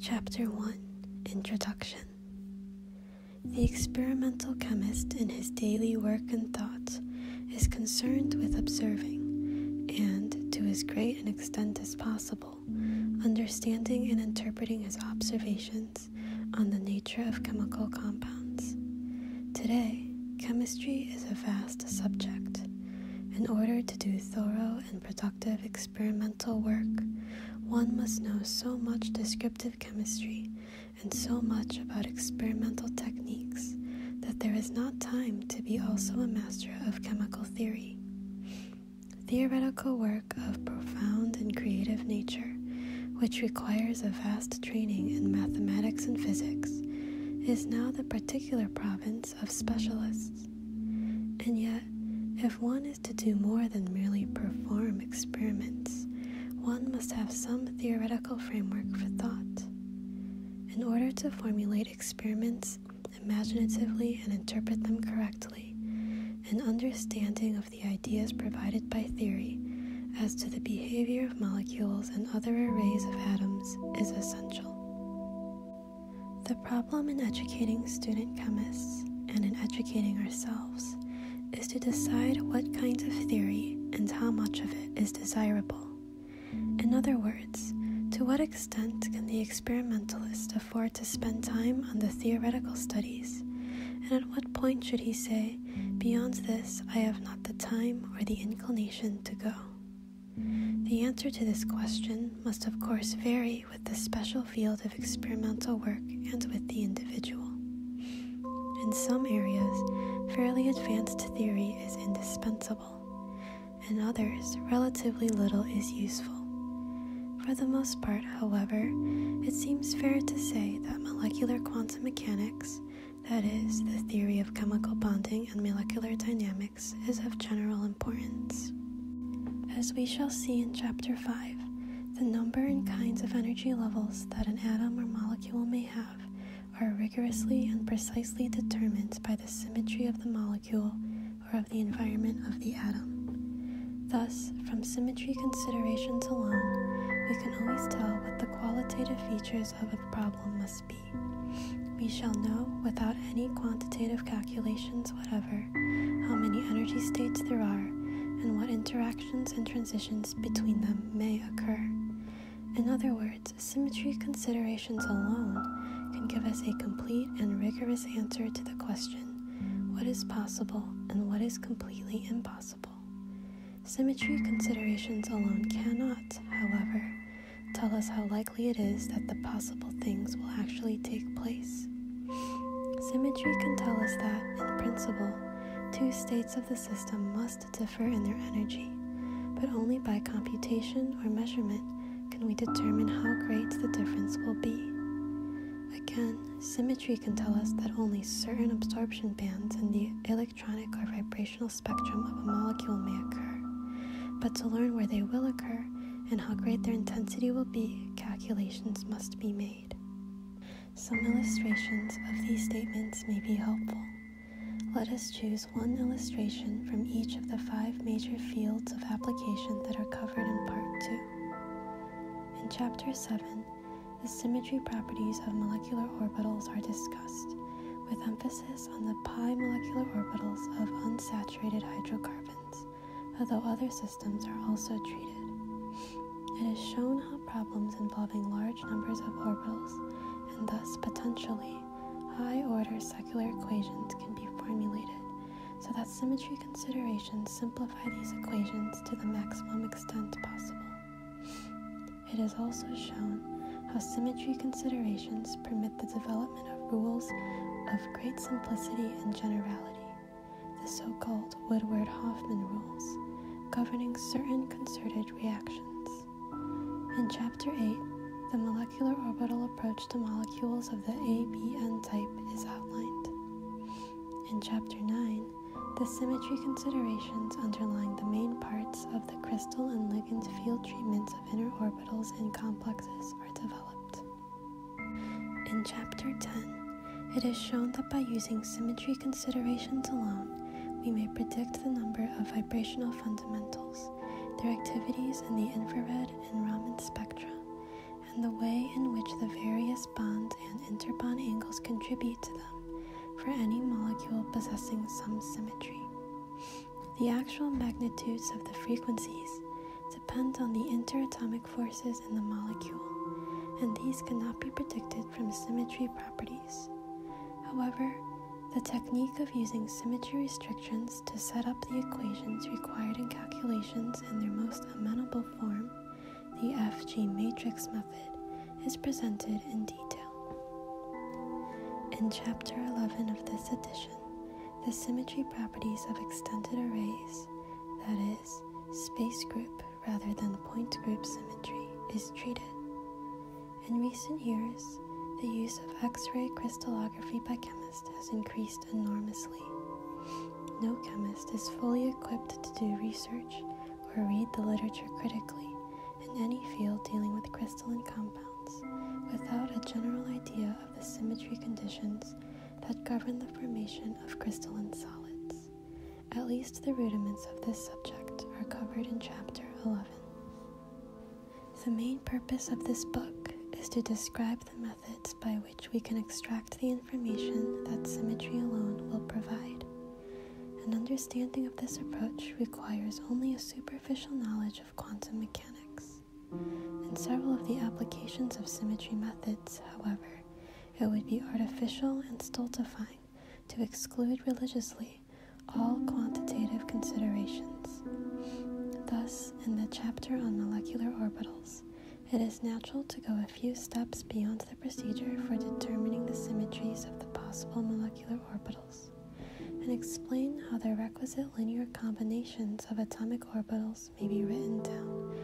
Chapter 1 Introduction The experimental chemist in his daily work and thoughts is concerned with observing and, to as great an extent as possible, understanding and interpreting his observations on the nature of chemical compounds. Today, chemistry is a vast subject. In order to do thorough and productive inductive experimental work, one must know so much descriptive chemistry and so much about experimental techniques that there is not time to be also a master of chemical theory. Theoretical work of profound and creative nature, which requires a vast training in mathematics and physics, is now the particular province of specialists. And yet, if one is to do more than merely perform experiments, one must have some theoretical framework for thought. In order to formulate experiments imaginatively and interpret them correctly, an understanding of the ideas provided by theory as to the behavior of molecules and other arrays of atoms is essential. The problem in educating student chemists and in educating ourselves is to decide what kinds of theory and how much of it is desirable. In other words, to what extent can the experimentalist afford to spend time on the theoretical studies, and at what point should he say, Beyond this, I have not the time or the inclination to go? The answer to this question must, of course, vary with the special field of experimental work and with the individual. In some areas, fairly advanced theory is indispensable. In others, relatively little is useful. For the most part, however, it seems fair to say that molecular quantum mechanics, that is, the theory of chemical bonding and molecular dynamics, is of general importance. As we shall see in Chapter 5, the number and kinds of energy levels that an atom or molecule may have are rigorously and precisely determined by the symmetry of the molecule or of the environment of the atom. Thus, from symmetry considerations alone, we can always tell what the qualitative features of a problem must be. We shall know, without any quantitative calculations whatever, how many energy states there are and what interactions and transitions between them may occur. In other words, symmetry considerations alone can give us a complete and rigorous answer to the question what is possible and what is completely impossible. Symmetry considerations alone cannot, however, tell us how likely it is that the possible things will actually take place. Symmetry can tell us that, in principle, two states of the system must differ in their energy, but only by computation or measurement can we determine how great the difference will be. Again, symmetry can tell us that only certain absorption bands in the electric electronic or vibrational spectrum of a molecule may occur, but to learn where they will occur and how great their intensity will be, calculations must be made. Some illustrations of these statements may be helpful. Let us choose one illustration from each of the five major fields of application that are covered in Part 2. In Chapter 7, the symmetry properties of molecular orbitals are discussed, with emphasis on the pi molecular orbitals of unsaturated hydrocarbons, although other systems are also treated. It is shown how problems involving large numbers of orbitals, and thus potentially high order secular equations, can be formulated so that symmetry considerations simplify these equations to the maximum extent possible. It has also shown how symmetry considerations permit the development of rules of great simplicity and generality, the so called Woodward Hoffman rules, governing certain concerted reactions. In Chapter 8, the molecular orbital approach to molecules of the ABN type is outlined. In Chapter 9, the symmetry considerations underlying the main parts of the crystal and ligand field treatments of inner orbitals and complexes are developed. In Chapter 10, it is shown that by using symmetry considerations alone, we may predict the number of vibrational fundamentals, their activities in the infrared and Raman spectra, and the way in which the various cis bonds and interbond angles contribute to them for any molecule possessing some symmetry. The actual magnitudes of the frequencies depend on the interatomic forces in the molecule, and these cannot be predicted from symmetry properties. However, the technique of using symmetry restrictions to set up the equations required in calculations in their most amenable form the FG matrix method is presented in detail. In Chapter 11 of this edition, the symmetry properties of extended arrays, that is, space group rather than point group symmetry, is treated. In recent years, the use of X ray crystallography by chemists has increased enormously. No chemist is fully equipped to do research or read the literature critically in any field dealing with crystalline compounds without a general idea of the symmetry conditions that govern the formation of crystalline solids. At least the rudiments of this subject are covered in Chapter 11. The main purpose of this book is to describe the methods by which we can extract the information that symmetry alone will provide. An understanding of this approach requires only a superficial knowledge of quantum mechanics. In several of the applications of symmetry methods, however, it would be artificial and stultifying to exclude religiously all quantitative considerations. Thus, in the chapter on molecular orbitals, it is natural to go a few steps beyond the procedure for determining the symmetries of the possible molecular orbitals and explain how the requisite linear combinations of atomic orbitals may be written down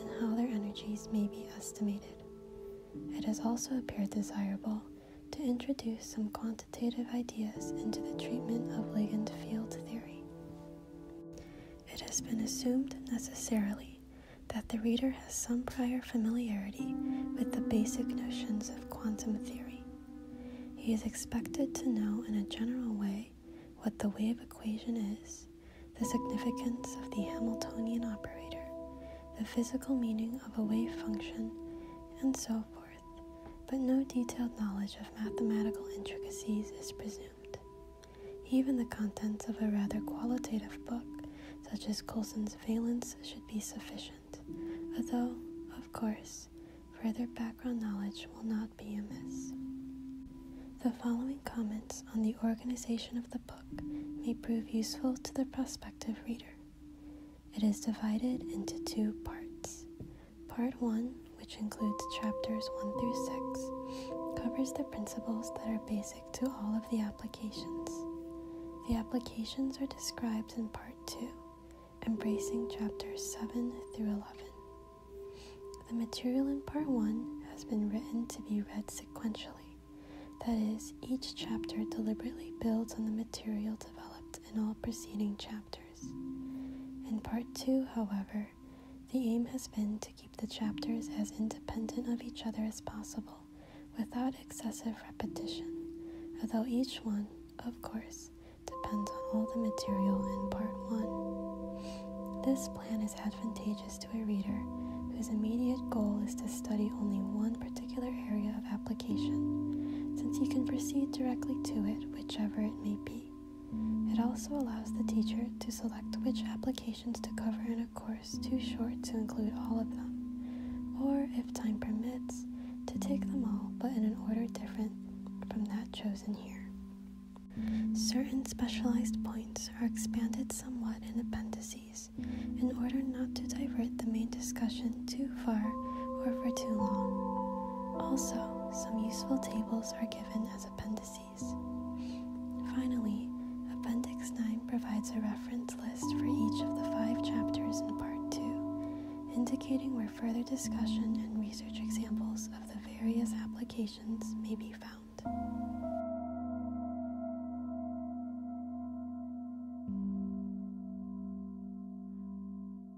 and how their energies may be estimated. It has also appeared desirable to introduce some quantitative ideas into the treatment of ligand field theory. It has been assumed necessarily that the reader has some prior familiarity with the basic notions of quantum theory. He is expected to know in a general way what the wave equation is, the significance of the Hamiltonian operator, the physical meaning of a wave function, and so forth, but no detailed knowledge of mathematical intricacies is presumed. Even the contents of a rather qualitative book, such as Coulson's Valence, should be sufficient, although, of course, further background knowledge will not be amiss. The following comments on the organization of the book may prove useful to the prospective reader. It is divided into two parts. Part 1, which includes chapters 1 through 6, covers the principles that are basic to all of the applications. The applications are described in Part 2, embracing chapters 7 through 11. The material in Part 1 has been written to be read sequentially, that is, each chapter deliberately builds on the material developed in all preceding chapters. In part two, however, the aim has been to keep the chapters as independent of each other as possible without excessive repetition, although each one, of course, depends on all the material in part one. This plan is advantageous to a reader whose immediate goal is to study only one particular area of application, since he can proceed directly to it whichever it may be. It also allows the teacher to select which applications to cover in a course too short to include all of them, or if time permits, to take them all but in an order different from that chosen here. Certain specialized points are expanded somewhat in appendices in order not to divert the main discussion too too far or for too long. Also, some useful tables are given as appendices. Finally, Appendix 9 provides a reference list for each of the five chapters in Part 2, indicating where further discussion and research examples of the various applications may be found.